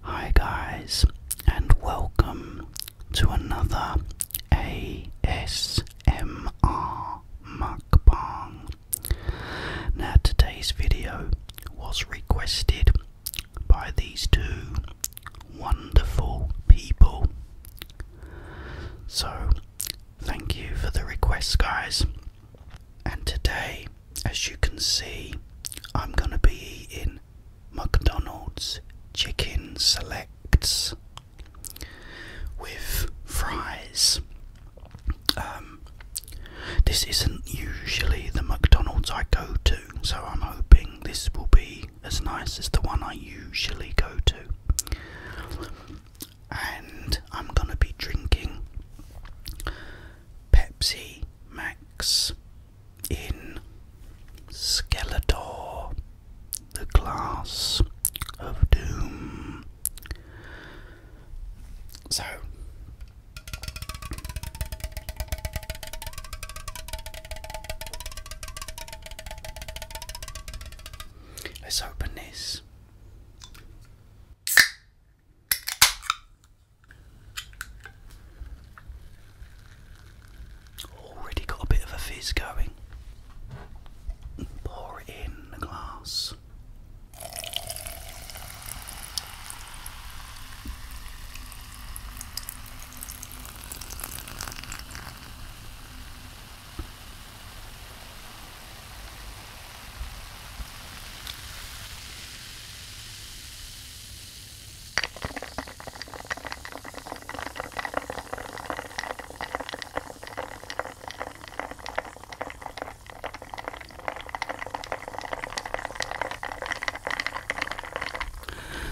Hi guys and welcome to another ASMR mukbang. Now today's video was requested by these two wonderful people. So thank you for the request guys. And today as you can see, I'm going to be eating McDonald's Chicken Selects with fries. Um, this isn't usually the McDonald's I go to, so I'm hoping this will be as nice as the one I usually go to. And I'm going to be drinking Pepsi. Max in Skeletor, the Glass of Doom. So, let's open this. Already got a bit of a fizz going. Pour it in the glass.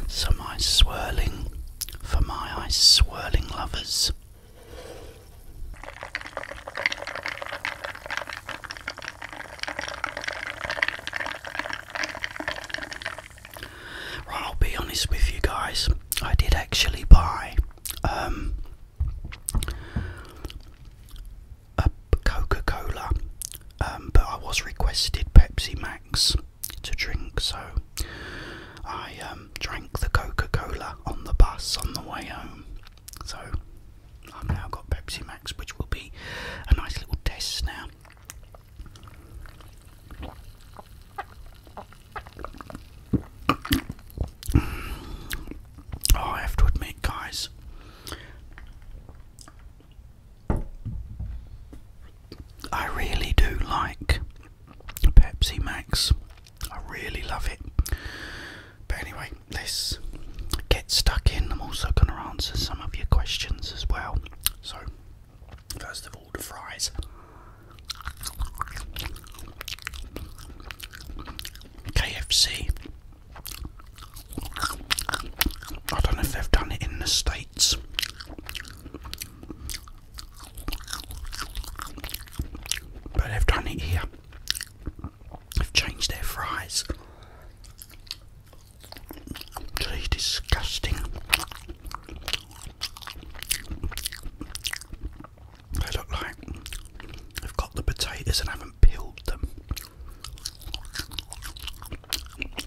Some ice swirling for my ice swirling lovers. I'll be honest with you guys. I did actually buy um, a Coca Cola, um, but I was requested Pepsi Max to drink, so I um, drank the Coca Cola on the bus on the way home. So I've now got Pepsi Max, which will be a nice little test now. Oh, I have to admit, guys, I really do like Pepsi Max. I really love it. But anyway, let's get stuck in. I'm also going to answer some of your questions as well. So, first of all, the fries. KFC. I don't know if they've done it in the States. But they've done it here. They've changed their fries. Really disgusting. They look like they've got the potatoes and haven't peeled them,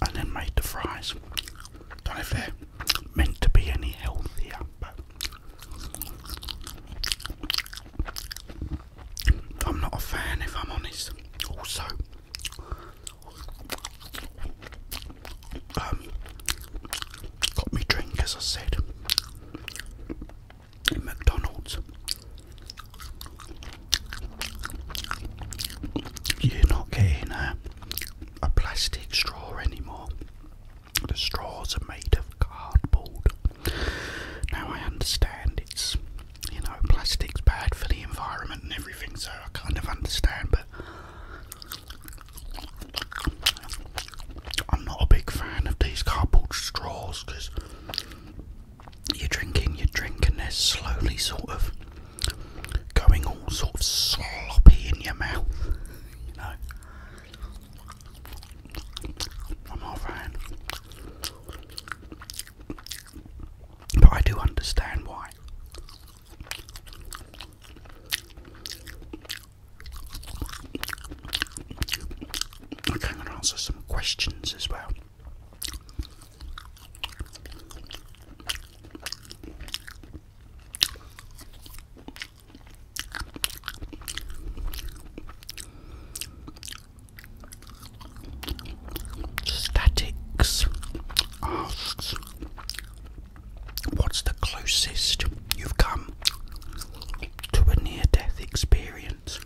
and then made the fries. Don't know if they're meant to be any healthier, I'm not a fan if I'm honest. Also, um, got me drink as I said McDonald's. You're not getting a, a plastic straw anymore. The straws are made of cardboard. Now I understand it's, you know, plastic's bad for the environment and everything, so I kind of understand, but I'm not a big fan of these cardboard straws because you're drinking your drink and they're slowly sort of going all sort of sloppy in your mouth, you know. I'm not a fan. But I do understand why. I'm answer some questions as well. Statics asks, What's the closest you've come to a near death experience?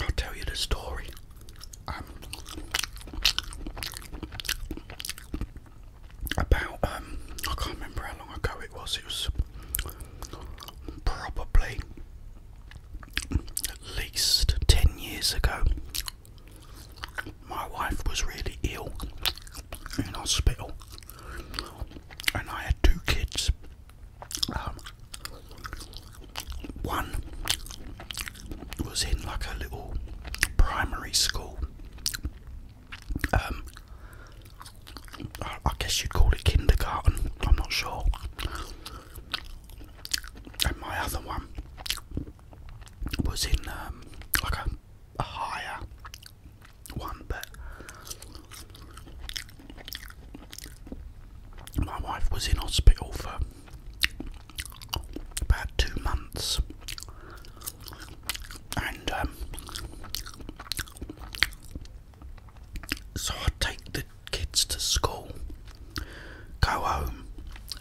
I'll tell you the story. Um, about um, I can't remember how long ago it was. It was probably at least 10 years ago. My wife was really ill in hospital and I had two kids. Um, one was in like a little primary school um, I guess you'd call it kindergarten, I'm not sure. And my other one was in um, like a higher one, but my wife was in hospital for about two months and um, so I take the kids to school, go home,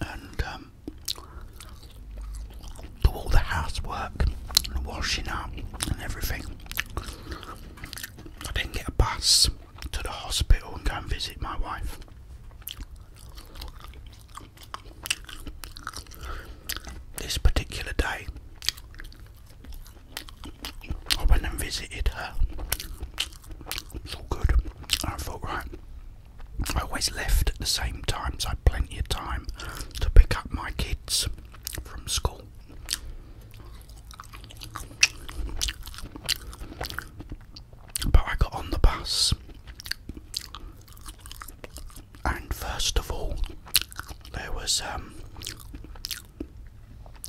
and um, do all the housework and washing up and everything. I didn't get a bus to the hospital and go and visit my wife. This particular day, I went and visited her. It's all good. I thought, right, I always left at the same time, so I had plenty of time to pick up my kids from school. But I got on the bus and first of all, there was um,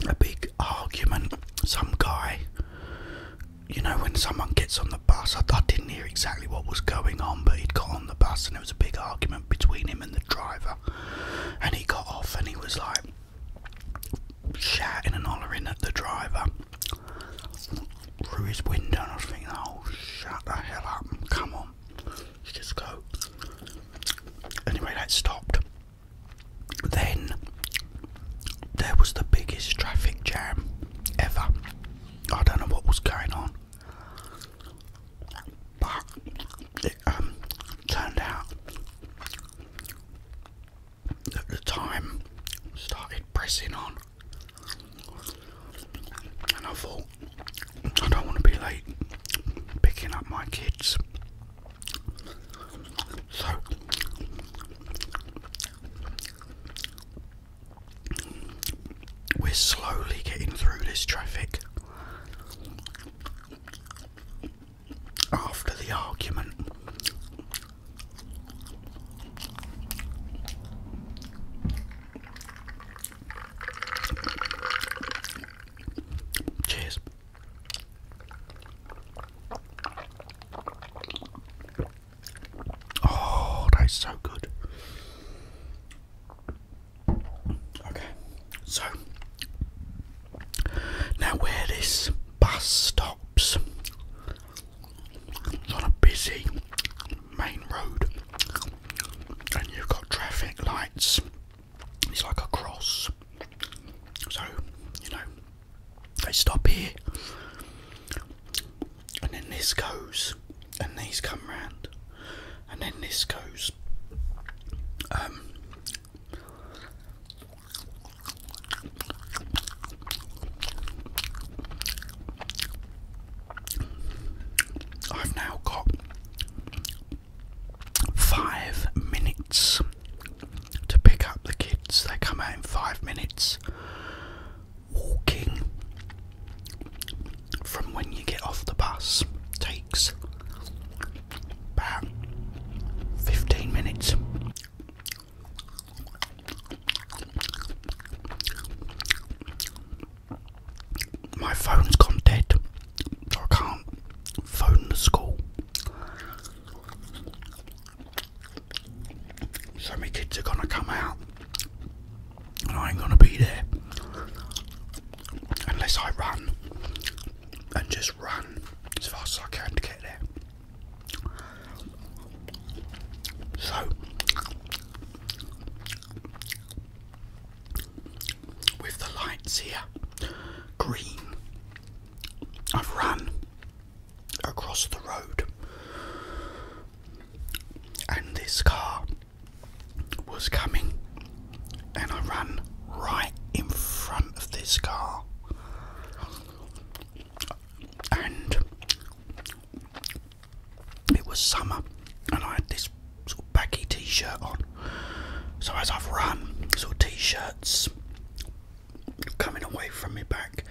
a big argument. Some guy, you know, when someone gets on the bus, I, didn't hear exactly what was going on, but he'd got on the bus and there was a big argument between him and the driver. And he got off and he was like shouting and hollering at the driver through his window. And I was thinking, oh, shut the hell up, come on, just go. Anyway, that stopped. Then there was the biggest traffic jam ever. I don't know what was going on, but it um, turned out that the time started pressing on. And I thought, I don't want to be late picking up my kids. So, we're slowly getting through this traffic. After the argument, Cheers. Oh, that is so good. Okay, so now where this bus stops, it's on a busy main road and you've got traffic lights. It's like a cross. So, you know, they stop here and then this goes and these come round and then this goes. Um, I've now got five minutes to pick up the kids. They come out in five minutes. Walking from when you get off the bus takes about 15 minutes my phone's gone dead, so I can't phone the school. So my kids are gonna come out, and I ain't gonna be there unless I run and just run as fast as I can to get there. So with the lights here green. I've run across the road, and this car was coming, and I ran right in front of this car. And it was summer and I had this sort of baggy t shirt on. So as I've run, sort of t shirts coming away from me back,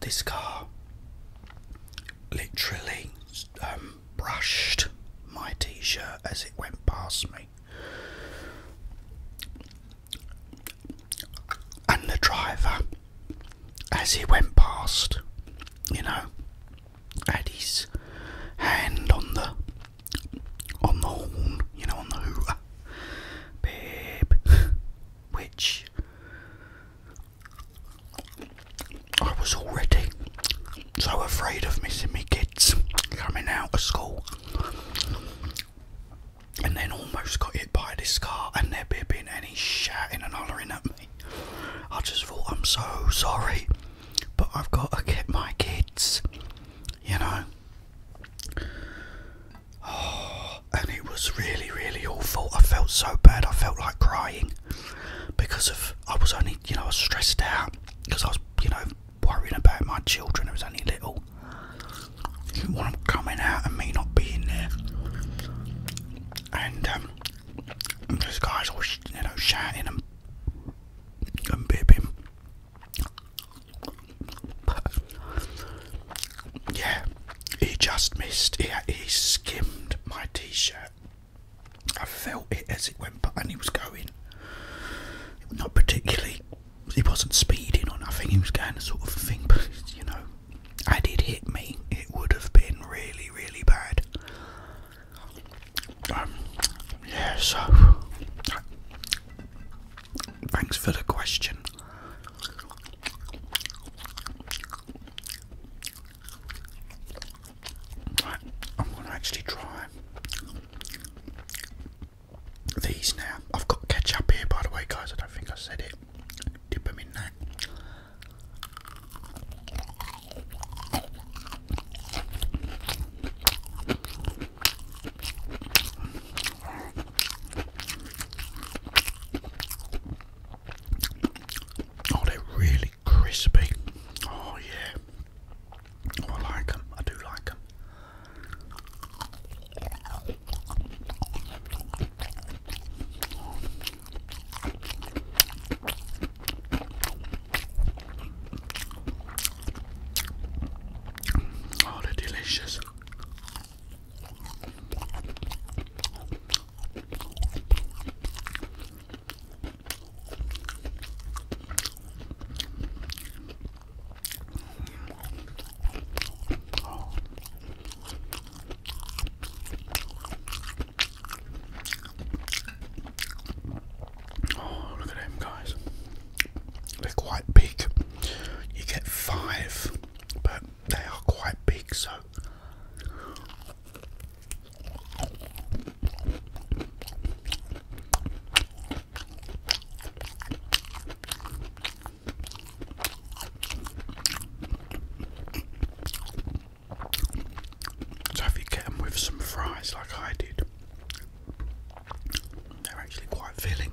this car literally um, brushed my t shirt as it went past me. And the driver as he went past, you know, had his hand on the on the horn, you know, on the hooter, babe, which I was already so afraid of missing me kids coming out of school, and then almost got hit by this car, and there being any shouting and hollering at I just thought, I'm so sorry, but I've got to get my kids, you know. and it was really, really awful. I felt so bad. I felt like crying because of I was only, you know, I was stressed out because I was, you know, worrying about my children. I was only little. You want them coming out and me not being there. And um, and guy's all, you know, shouting and, and bibbing. yeah, he just missed. He, he skimmed my t-shirt. I felt it as it went by, and he was going. Not particularly. He wasn't speeding or nothing. He was going a sort of thing, but you know, I did hit me, it would have been really, really bad. Um, yeah, so thanks for the question. I'm going to actually try these now. I've got ketchup here, by the way, guys. I don't think I said it. Dip them in that. Oh, they're really crispy. Oh, yeah. Oh, I like them. I do like them. Oh, they're delicious. Oh. Oh, look at them guys. They're quite big. You get five, but they are quite big, so. So if you get them with some fries like I did, they're actually quite filling.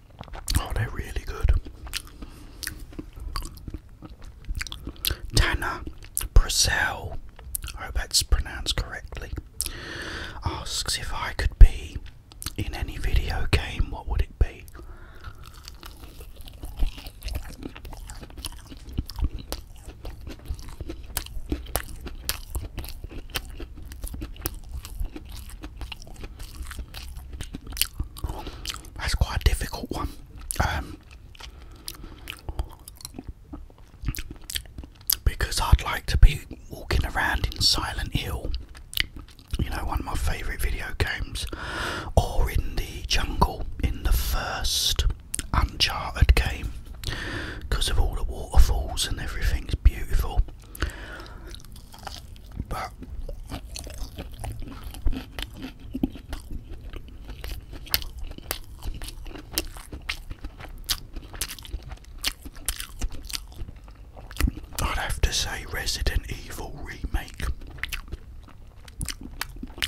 Oh, they're really good. Tanner Brazil. I hope that's pronounced correctly. Asks if I could be in any video game, what would it be? That's quite a difficult one. Um, because I'd like to be walking around in Silent Hill, you know, one of my favourite video games, or in the jungle in the first Uncharted game, because of all the waterfalls and everything's beautiful. I'd have to say Resident Evil remake.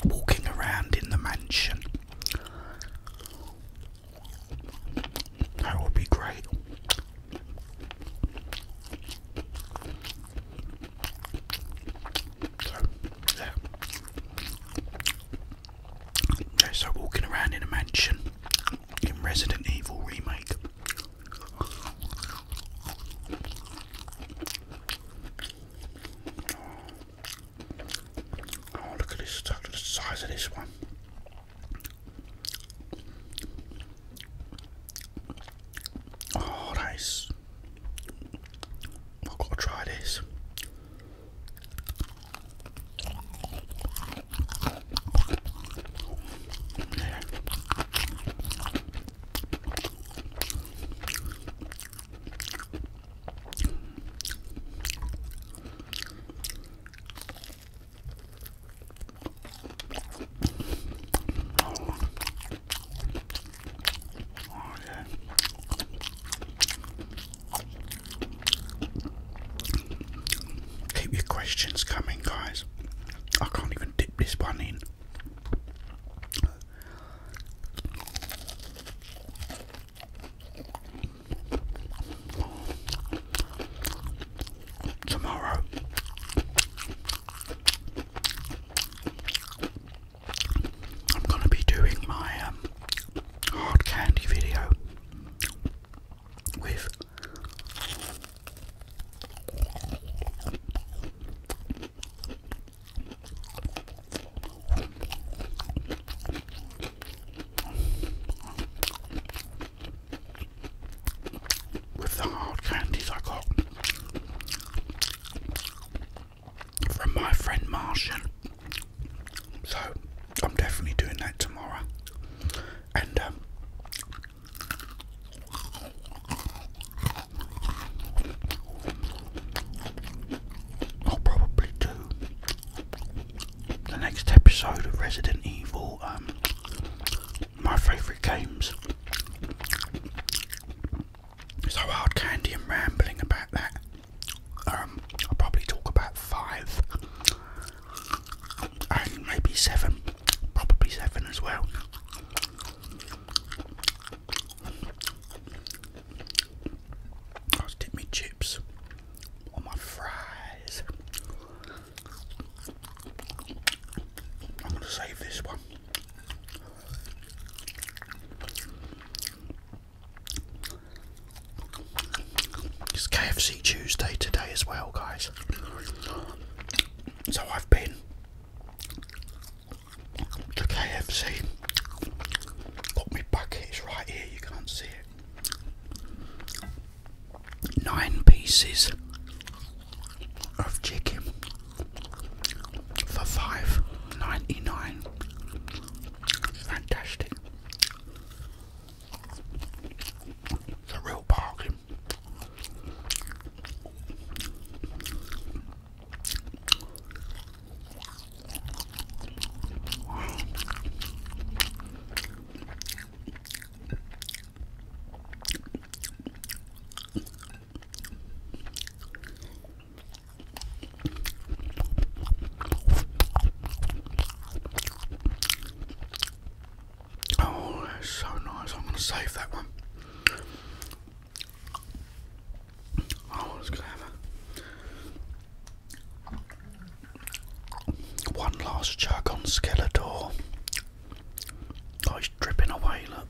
Walking around in the mansion. That would be great. So, Okay, so walking around in a mansion in Resident Evil Remake. Oh, look at this, look at the size of this one. Oh, that is. I've got to try this. Oh, Keep your questions coming, guys. I can't even dip this one in. Tomorrow, I'm going to be doing my um, hard candy video with with the hard candies I got from my friend Martian. So I'm definitely doing that tomorrow. And um, I'll probably do the next episode of Resident Evil um, my favourite games. So hard candy and rambling about that. Um, i probably talk about five maybe seven, probably seven as well. i me chips on my fries. I'm going to save this one. It's KFC Tuesday today as well, guys. So I've been to KFC. Got my buckets right here, you can't see it. Nine pieces of chicken for five ninety nine. Fantastic. It's a real bargain. Oh, that's so nice. I'm going to save that one. Oh, it's going One last chug on Skeletor. Oh, dripping away, look.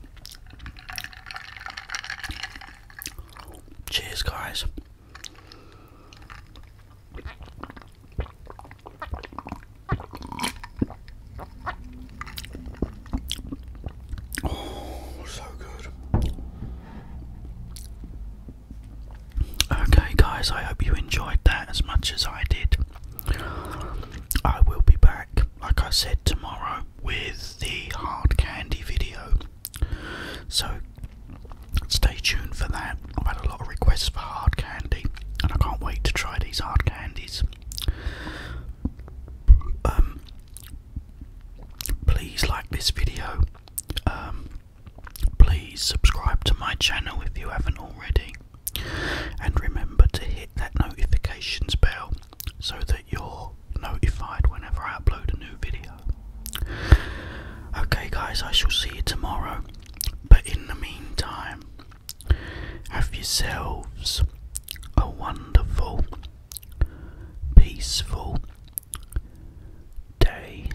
Cheers, guys. Oh, so good. Okay, guys, I hope you enjoyed that as much as I did. I will be back, like I said, tomorrow with the hard candy video. So stay tuned for that. I've had a lot of requests for hard candy, and I can't wait to try these hard candies. Um, please like this video. Um, please subscribe to my channel if you haven't already. And remember to hit that notifications bell so that you're notified whenever I upload a new video. Okay, guys, I shall see you tomorrow. But in the meantime, have yourselves a wonderful, peaceful day.